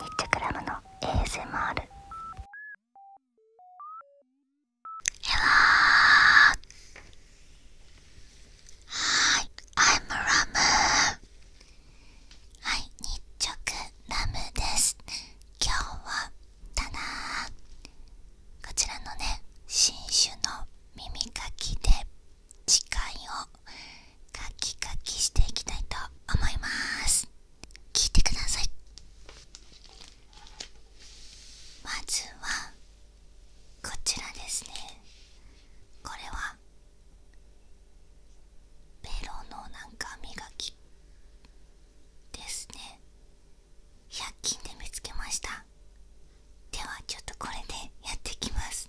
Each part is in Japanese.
ニッチェクラムの ASMR でははい I'm ラムはい日直ラムです今日はただこちらのね新種の耳かきで時間をカキカキしていきたいと思います聞いてくださいまずはこちらですねこれはベロのなんか磨きですね100均で見つけましたではちょっとこれでやっていきます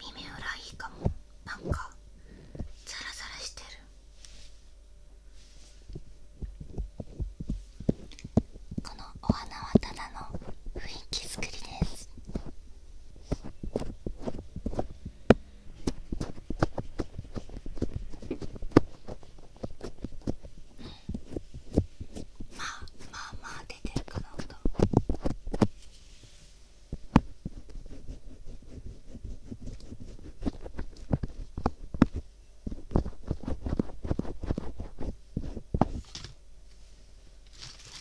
耳裏いいかもなんかザラザラしてるこのお花はただの雰囲気作りですまあまあまあ出てるかなと。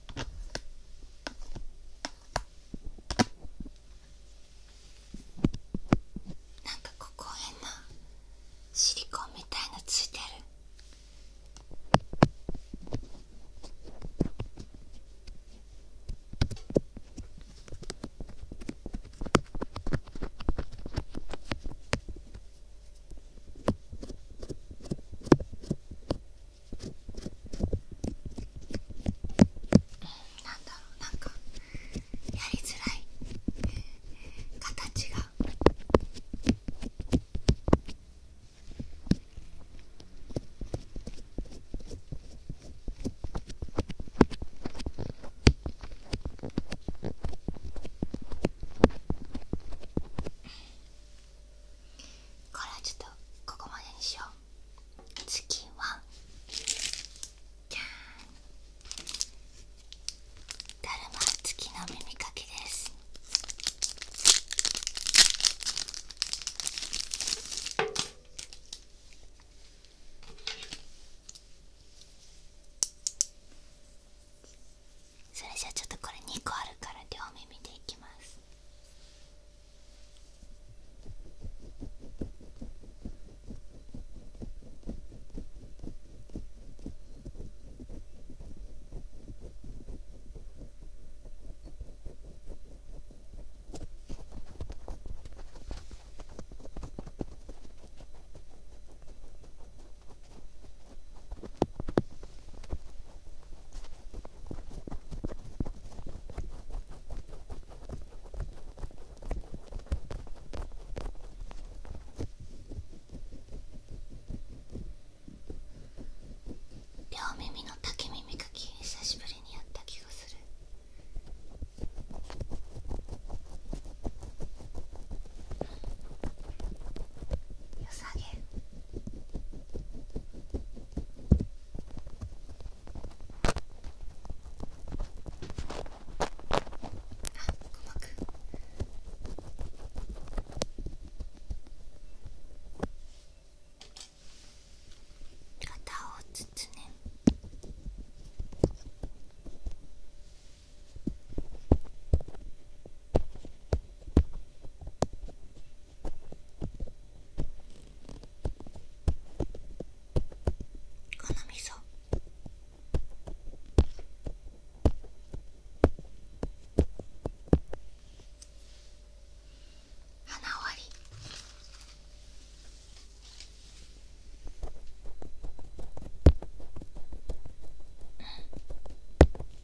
なんかここ変なシリコンみたいのついてる。なんだろうなんかやりづらい形が。かはちょっとここまでにしよう次はじゃーんだるま付きの耳かきですそれじゃあちょっとこれ2個あるから両目見ていきます両耳の竹耳かき久しぶりにやった気がするよさげ肩をつつねこのみそ花終うん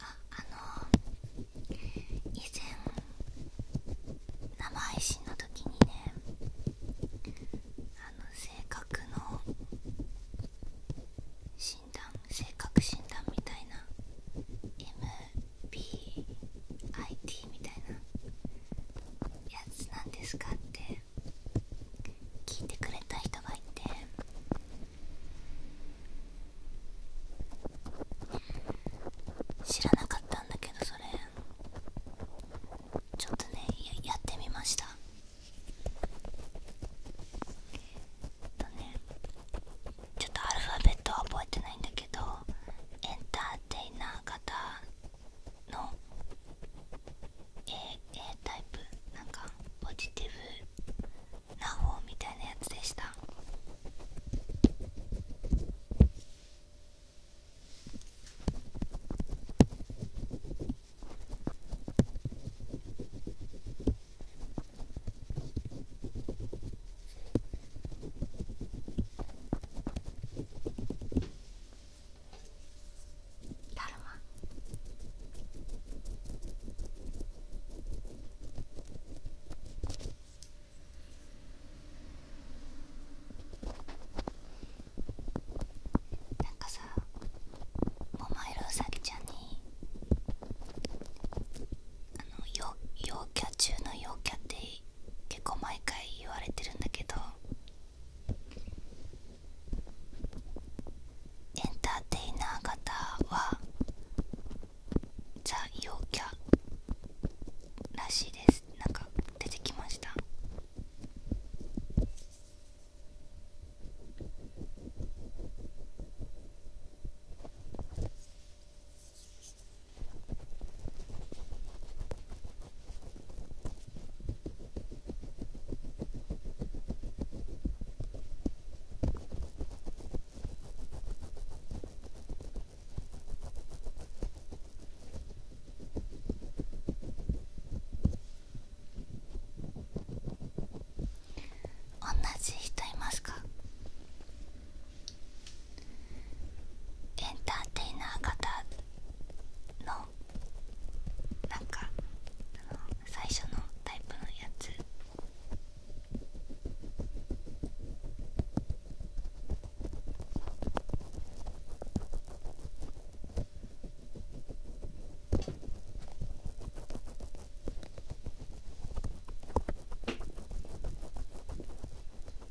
ああの以前生配信の時にねあの性格の診断性格診断みたいな M BIT みたいなやつなんですかって聞いてくれた人がいて知らなかったんだけどそれちょっとねやってみましたとねちょっとアルファベットは覚えてないんだけどエンターテイナー型のタイプなんかポジティブな方みたいなやつでしただるまなんかさ桃色うさぎちゃんにあの陽キャ中の陽キャって結構毎回言われてるんだけどエンターテイナー型はザ・陽キャらしいですなんか出てきました同じ人いますかエンターテイナー型のなんかあの最初のタイプのやつ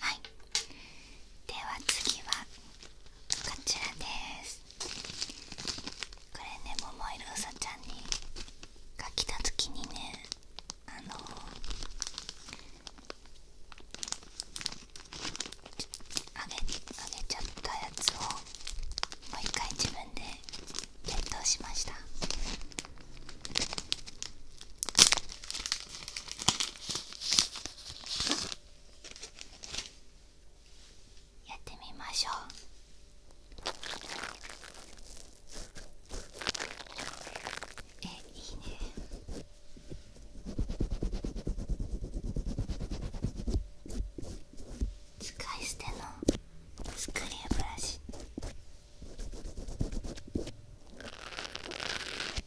はいでは次はこちらですこれねももいろうさちゃんにが来た時にねあのあげあげちゃったやつをもう一回自分で検凍しましたやってみましょうえいいね使い捨てのスクリューブラシ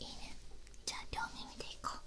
いいねじゃあ両耳でいこう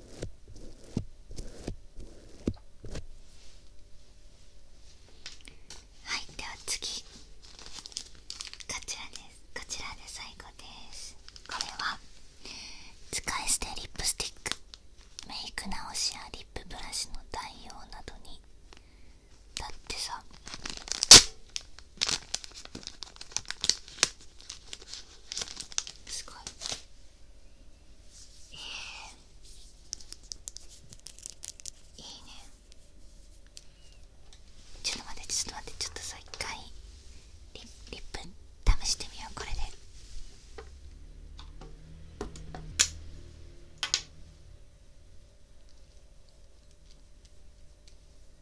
はいでは次こちらですこちらで最後ですこれは使い捨てリップスティックメイク直しやリップブラシの代用などにだってさすごいええいいねちょっと待ってちょっと待ってちょっとさ一回リリップ試してみようこれであ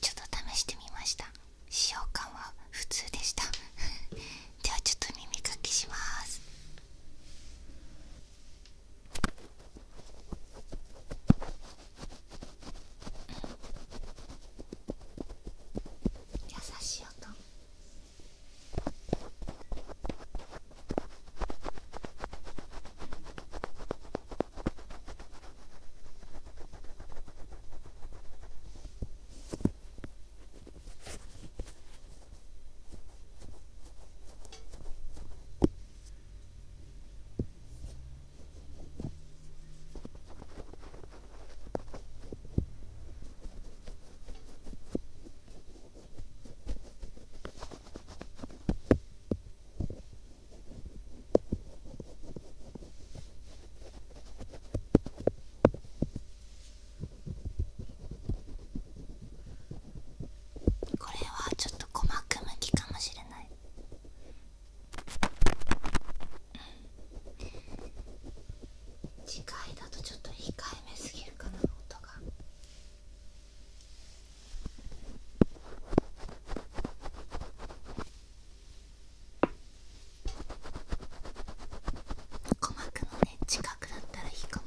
ちょっと試してみました使用感は普通でした ではちょっと耳かきしますうん優しい音これはちょっと細かく向きかもしれない次回だとちょっと控えめすぎるかな音が。鼓膜のね近くだったらいいかも。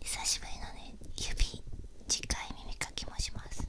久しぶりのね指近い耳かきもします。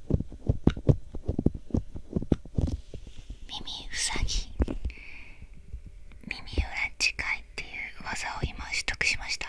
耳うさぎ耳裏近いっていう技を今取得しました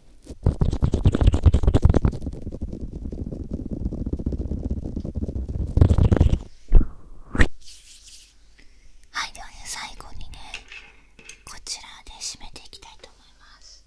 はいではね最後にねこちらで締めていきたいと思います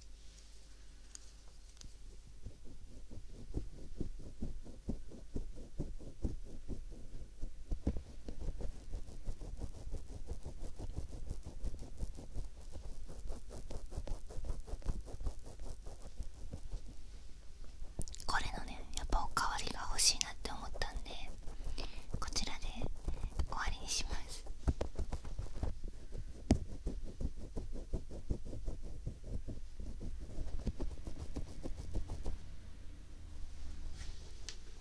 これのねやっぱおかわりが欲しいなって思ったんでこちらで終わりにします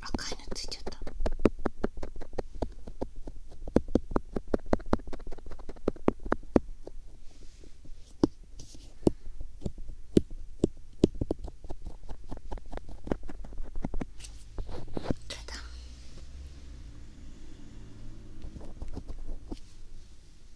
赤いのついちゃった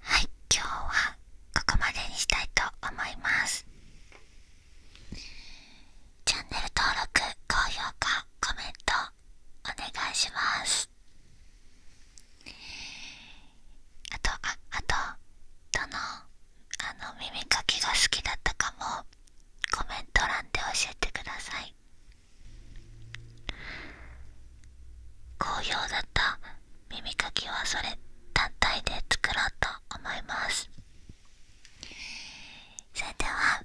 はい今日はここまでにしたいと思いますチャンネル登録高評価コメントお願いしますあとあとどのあの耳かきが好きだったかもコメント欄で教えてください好評だった耳かきはそれ単体で作ろうと思いますそれでは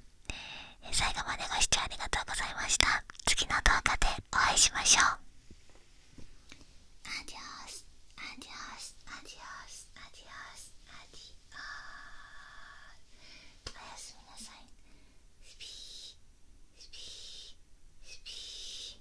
最後までご視聴ありがとうございました次の動画でお会いしましょうアディオスアディオスアディオスアディオススおやすみなさいスピースピースピー